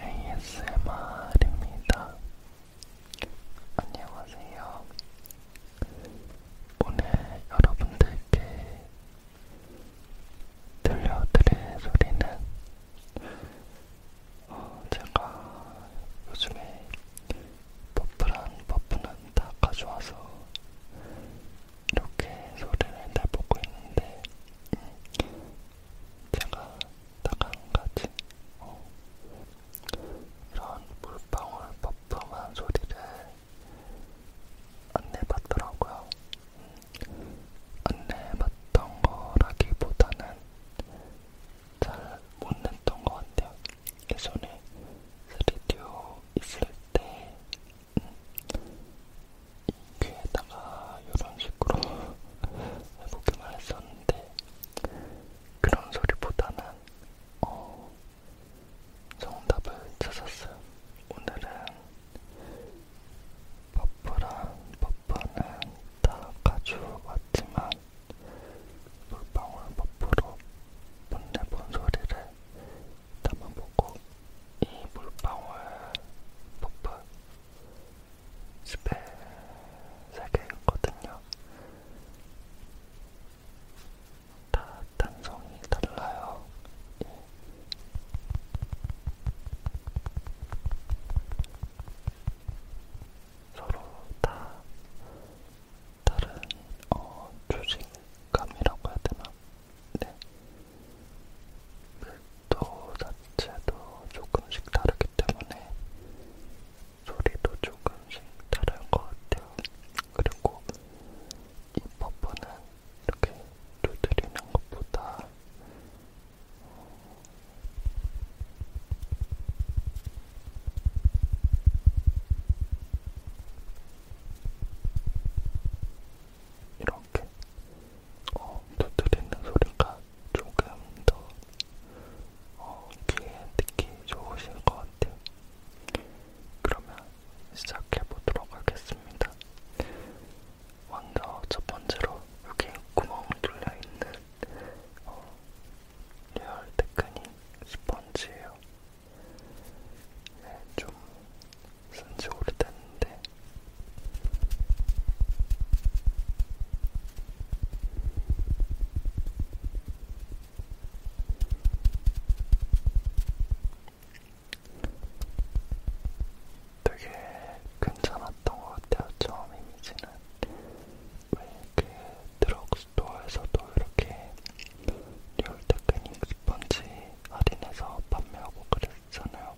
ASMR입니다. 안녕하세요. 오늘 여러분들께 들려드릴 소리는 어, 제가 요즘에 버프란 버프는 다 가져와서 이렇게 소리를 내보고 있는데 음, 제가 딱한 가지 어. 이런 물방울 퍼프한 소리를 안 내봤더라고요. 음. 안 내봤던 거라기보다는 잘못 냈던 것 같아요. 예전에 스튜디오 그 있을 때 음, 귀에다 하다가 아, 이런 식으로 해보기만 했었는데 그런 소리보다는 어, 정답을 찾았어요. 오늘은 버프랑 버프는 다 가져왔지만 물방울 버프로 못내본 소리를 담아보고 이 물방울 버프 스펠 3개였거든요. 다 단성이 달라요. 예. 서로 다 다른 어, 조직감이라고 해야 되나? 네. 밀도 그 자체도 조금씩 다르게 그렇기 때문에 소리도 조금씩 다를 것 같아요. 그리고 이 퍼프는 이렇게 두드리는 것보다 어, 이렇게 어, 두드리는 소리가 조금 더 어, 귀에 듣기 좋으실 것 같아요. 그러면 시작해보도록 하겠습니다. 먼저 첫 번째로 여기 구멍 뚫려있는 어, 리얼 테크닉 스펀지예요. 네, 좀 쓴지 오래됐는데 되게 괜찮았던 것 같아요. 처음 이미지는 왜그 드럭스토어에서도 이렇게 리얼테크닉 스펀지 할인해서 판매하고 그랬잖아요.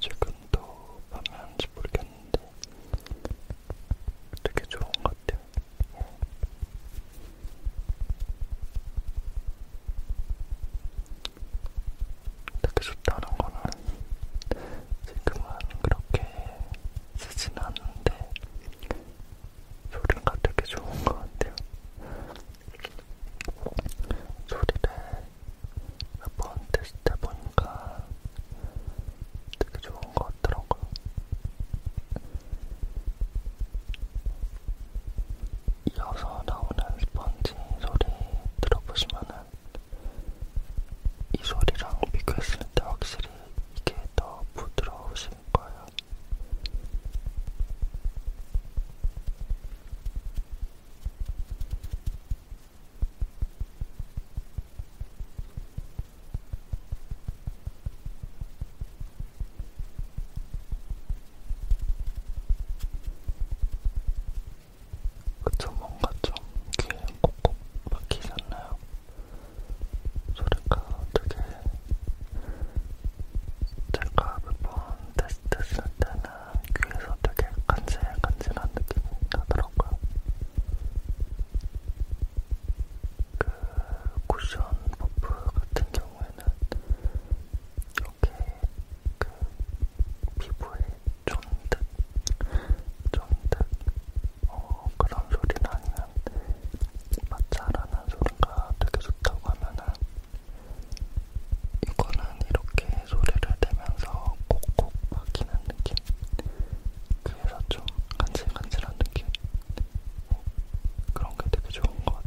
지금도 방해하는지 모르겠는데 되게 좋은 것 같아요. 어. 되게 좋다는 거는 지금은 그렇게 쓰진 않는데 소리가 되게 좋은 것 같아요. 소리를 몇번 테스트해보니까 되게 좋은 것 같더라고요. 이어서 나오는 스펀지 소리 들어보시면은 이 소리랑 비교했을 때 확실히 이게 더 부드러우실 거예요. 그쵸, 뭔가 좀 귀에 꼭꼭 박히지 않나요? 소리가 되게 제가 몇번 테스트 했을 때는 귀에서 되게 간질간질한 느낌이 나더라고요. 그 쿠션 버프 같은 경우에는 이렇게 그 피부에 쫀득 쫀득 어, 그런 소리나 아니면 마찰하는 소리가 되게 좋다고 하면은 이거는 이렇게 소리를 내면서 꼭꼭 푹 박히는 느낌 그래서 좀 간질간질한 느낌 어, 그런 게 되게 좋은 것 같아요.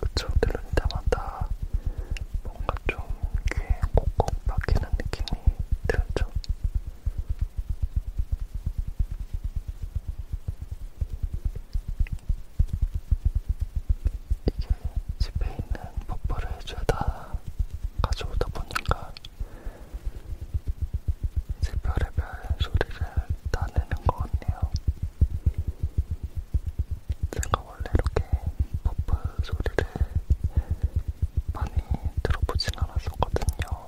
그쵸 들을 때마다 뭔가 좀 귀에 콕콕 박히는 느낌이 들죠. 이게 집에 있는 버퍼를 죄다 가져오다 보니까 이제 별의별 소리를 나누는 것 같네요. 제가 원래 이렇게 버프 소리를 많이 들어보진 않았었거든요.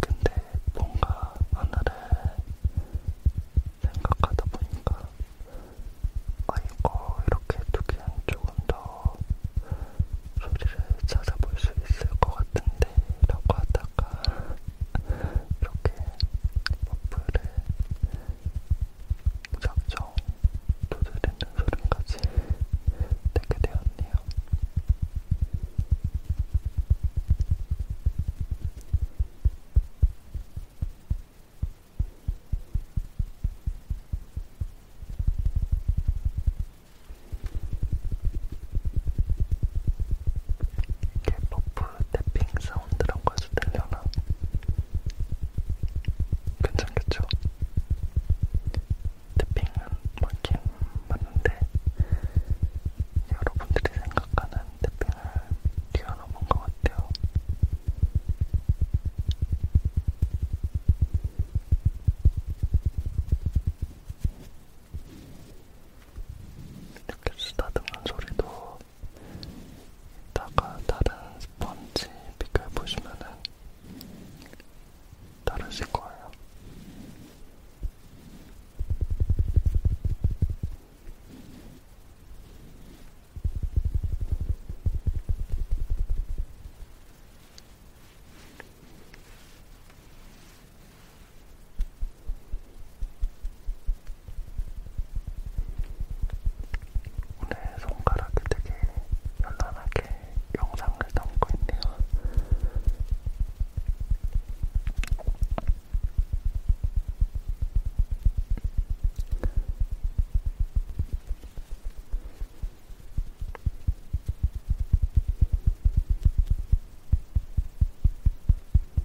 근데 뭔가 하나를 생각하다 보니까 아 이거 이렇게 두개는 조금 더 소리를 찾아볼 수 있을 것 같은데 라고 하다가 이렇게 머플을 무작정 두드리는 소리까지 듣게 되었네요. 이게 버프 탭핑 사운드라고 해서 들려나? 괜찮겠죠? 탭핑은 맞긴 맞는데 여러분들이 생각하는 탭핑을 뛰어넘은 것 같아요. 이렇게 쓰다듬는 소리도 이따가 다른 스펀지 비교해보시면은 다르실 거예요. 오늘 손가락이 되게 편안하게 영상을 담고 있네요.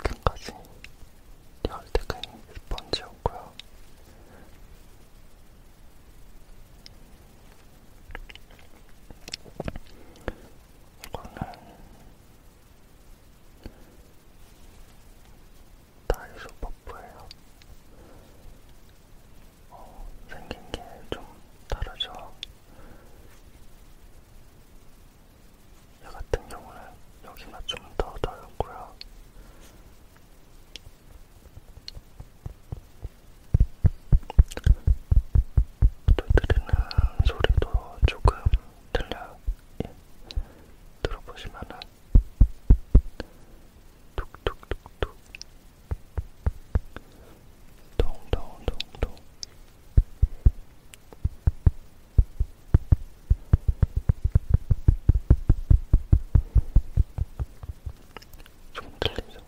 여기까지 열대근 스펀지였고요. 이거는 다이소 퍼프예요. 어, 생긴 게 좀 다르죠. 얘 같은 경우는 여기가 좀더 넓고요. 두드리는 소리도 조금 들려 예. 들어보시면은 툭툭툭툭 동동동동 조금 틀리죠?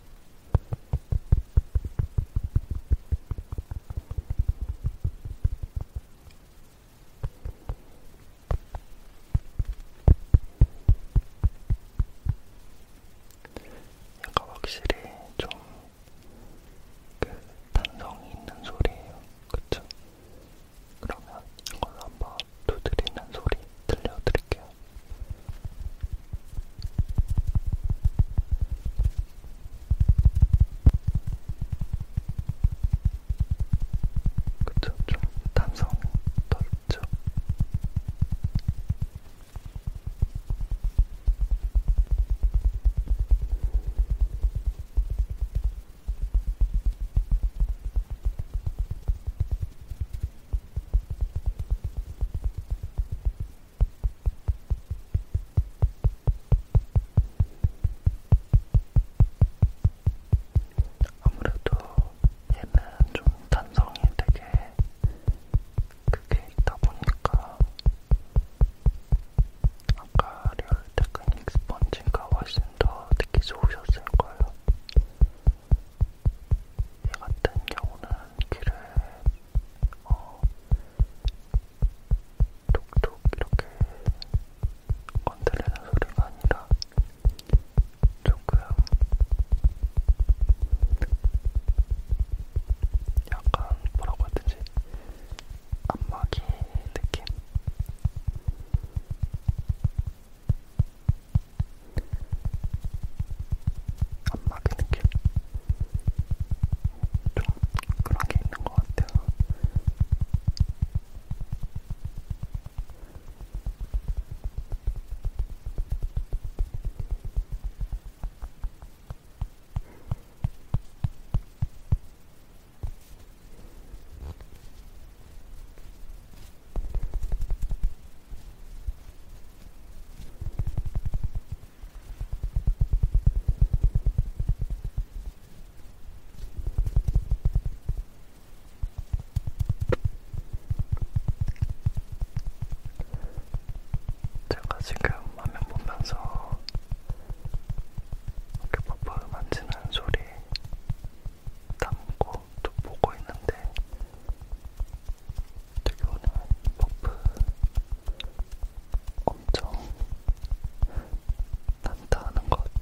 약간 확실히 좀 그 단성이 있는 소리예요. 그쵸? 그러면 이걸 한번 두드리는 소리 들려드릴게요. 그쵸? 좀 탄성이 더 있죠? 아무래도 얘는 좀 단성이 되게 크게 있다 보니까 아까 리얼 테크닉 스펀지가 훨씬 더 느끼 좋으셨을 거예요. 얘 같은 경우는 귀를 어, 톡톡 이렇게 건드리는 소리가 아니라 조금 약간 뭐라고 해야 되지? 안마기 느낌? 안 막히는 길좀 그런 게 있는 것 같아요. 제가 지금 화면 보면서 이렇게 버퍼 만지는 소리 담고 좀 보고 있는데 되게 오늘 버프 엄청 난타하는 것 같아요.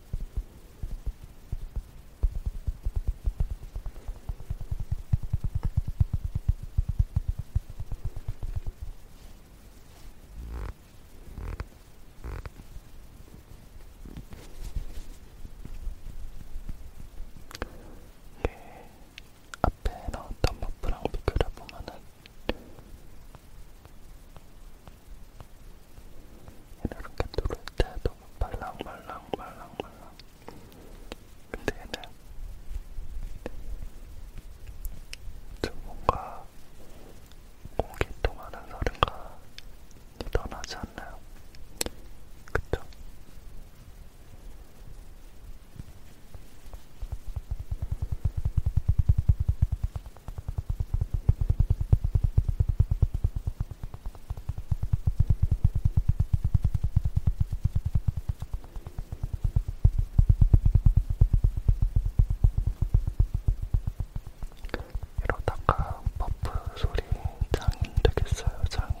이게 예, 앞에 나왔던 버프랑 비교를 보면은 이렇게 누를 때도 말랑말랑말랑말랑 근데 얘는 좀 뭔가 공기통하는 소리가 떠나지 않나요? 그쵸? 이러다가 버프 소리 장인 되겠어요, 장인.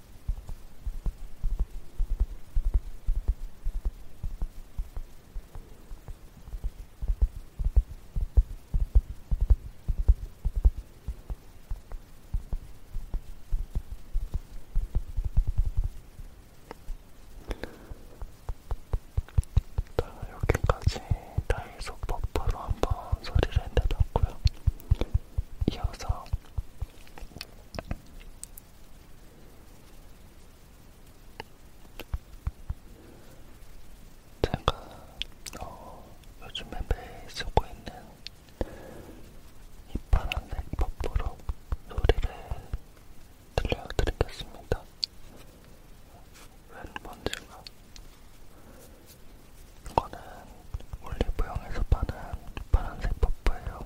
자, 여기까지 다이소 버퍼로 한번 소리를 내봤고요. 이어서 제가 어, 요즘에 매일 쓰고 있는 이 파란색 퍼프로 소리를 들려드리겠습니다. 웬 번지가? 이거는 올리브영에서 파는 파란색 퍼프예요.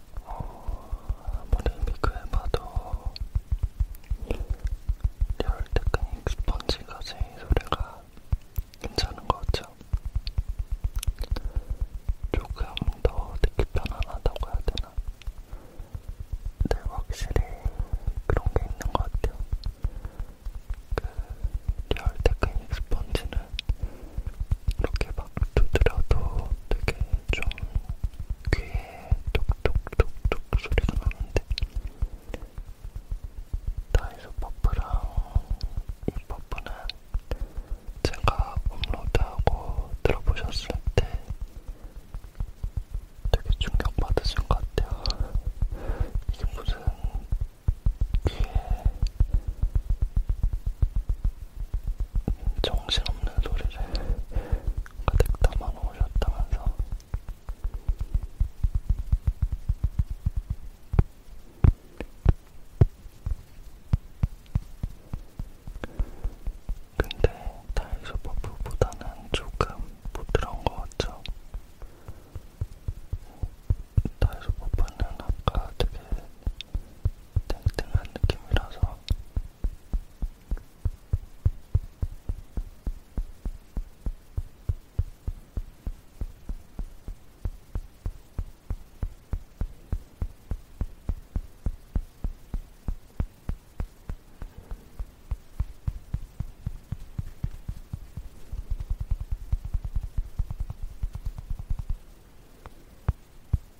어, 아무리 비교해봐도 리얼 테크닉 스펀지가 제일 소리가 괜찮은 것 같죠? 조금 더 듣기 편안하다고 해야 되나? 네, 확실히 그런 게 있는 것 같아요. 그 리얼 테크닉 스펀지는 이렇게 막 두드려도 되게 좀 귀에 톡톡톡톡 소리가 나는데 다이소 퍼프랑 이 퍼프는 제가 업로드하고 들어보셨을 때 되게 충격받으신 것 같아요. 이게 무슨 귀에 정신없는 소리를 가득 담아 놓으셨다면서 근데 다이소 버프보다는 조금 부드러운 것 같죠? 다이소 버프는 아까 되게 땡땡한 느낌이라서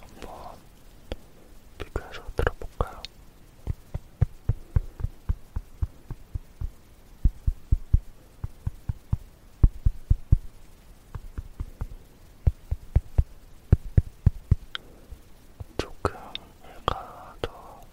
한번 비교해서 들어볼까요? 조금 얘가 더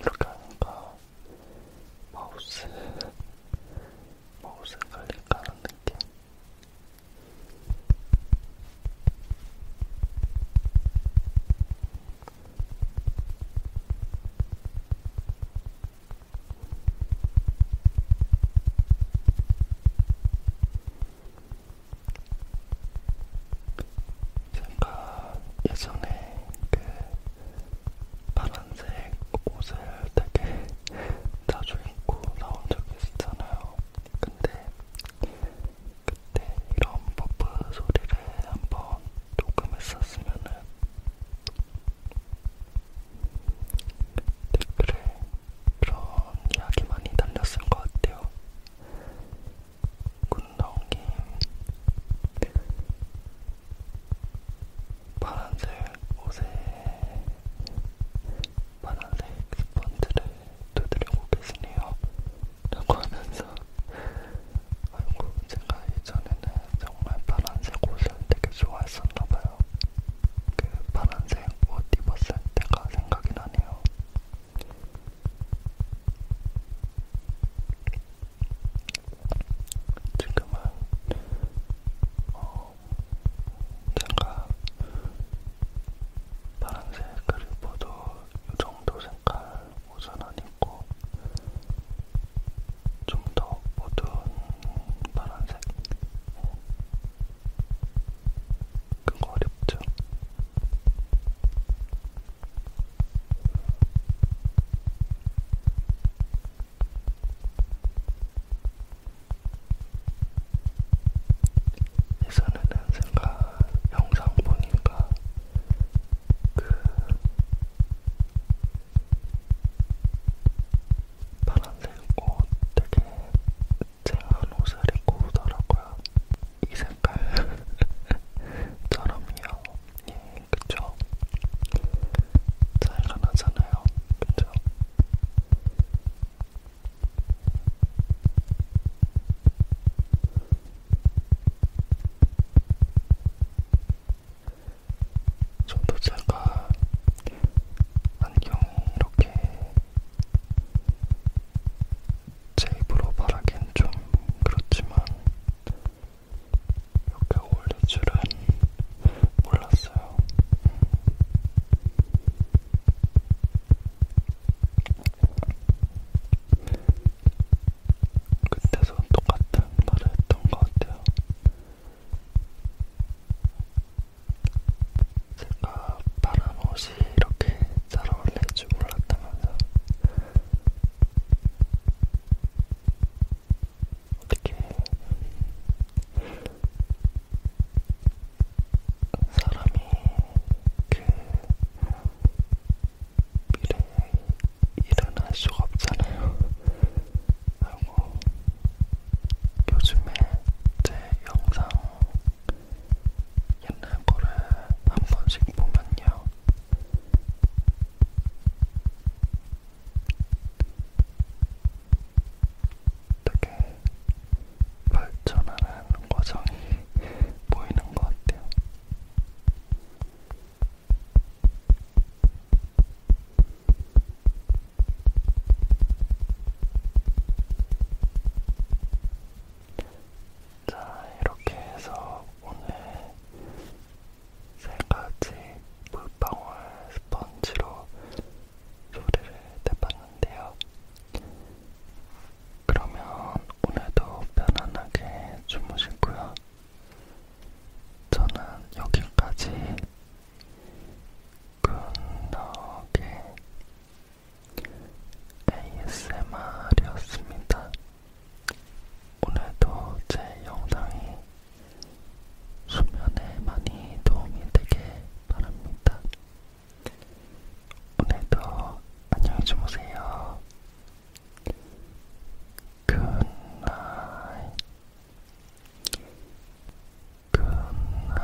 이렇게 하니까 마우스 마우스 걸릴까 하는 느낌. 제가 예전에 그 파란색 옷을 되게 자주 입고 나온 적이 있었잖아요. 근데 그때 이런 버프 소리를 한번 녹음했었으면은 댓글에 그런 이야기 많이 달렸을 것 같아요. 군더기 파란색 옷에 파란색 스펀지를 두드려 보겠으네요 라고 하면서 아이고 제가 예전에는 정말 파란색 옷을 되게 좋아했었나봐요 그 파란색 옷 입었을 때가 생각이 나네요 지금은 어, 제가 파란색 그리보도 요정도 색깔 옷은 아니고 좀더 어두운 파란색 네. 그거 어렵죠? 이선은 순간 영상 보니까 그 파란색 옷 되게 쨍한 옷을 입고 오더라고요. 이 색깔처럼요. 예, 그쵸? 차이가 나잖아요. 그쵸? 저도 제가 안경이 이렇게 제 입으로 말하긴 좀 그렇지만 이렇게 어울릴 줄은 몰랐어요. 그때도 똑같은 말을 했던 것 같아요. 제가 바람 옷을 옷이 이렇게 잘 어울릴 줄 몰랐다면서 어떻게 사람이 그 미래에 일은 할 수가 없잖아요. 그리고 요즘에 제 영상 옛날 거를 한 번씩 보면요. 되게 발전하는 과정이 보이는 것 같아요. 자, 이렇게 해서 오늘 세 가지 물방울 스펀지로 소리를 내봤는데요. 그러면 오늘도 편안하게 주무시고요. 저는 여기까지 굿나게 ASMR이었습니다. 오늘도 제 영상이 수면에 많이 도움이 되길 바랍니다. 오늘도 안녕히 주무세요. 굿나잇 굿나잇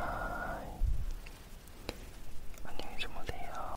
안녕히 주무세요.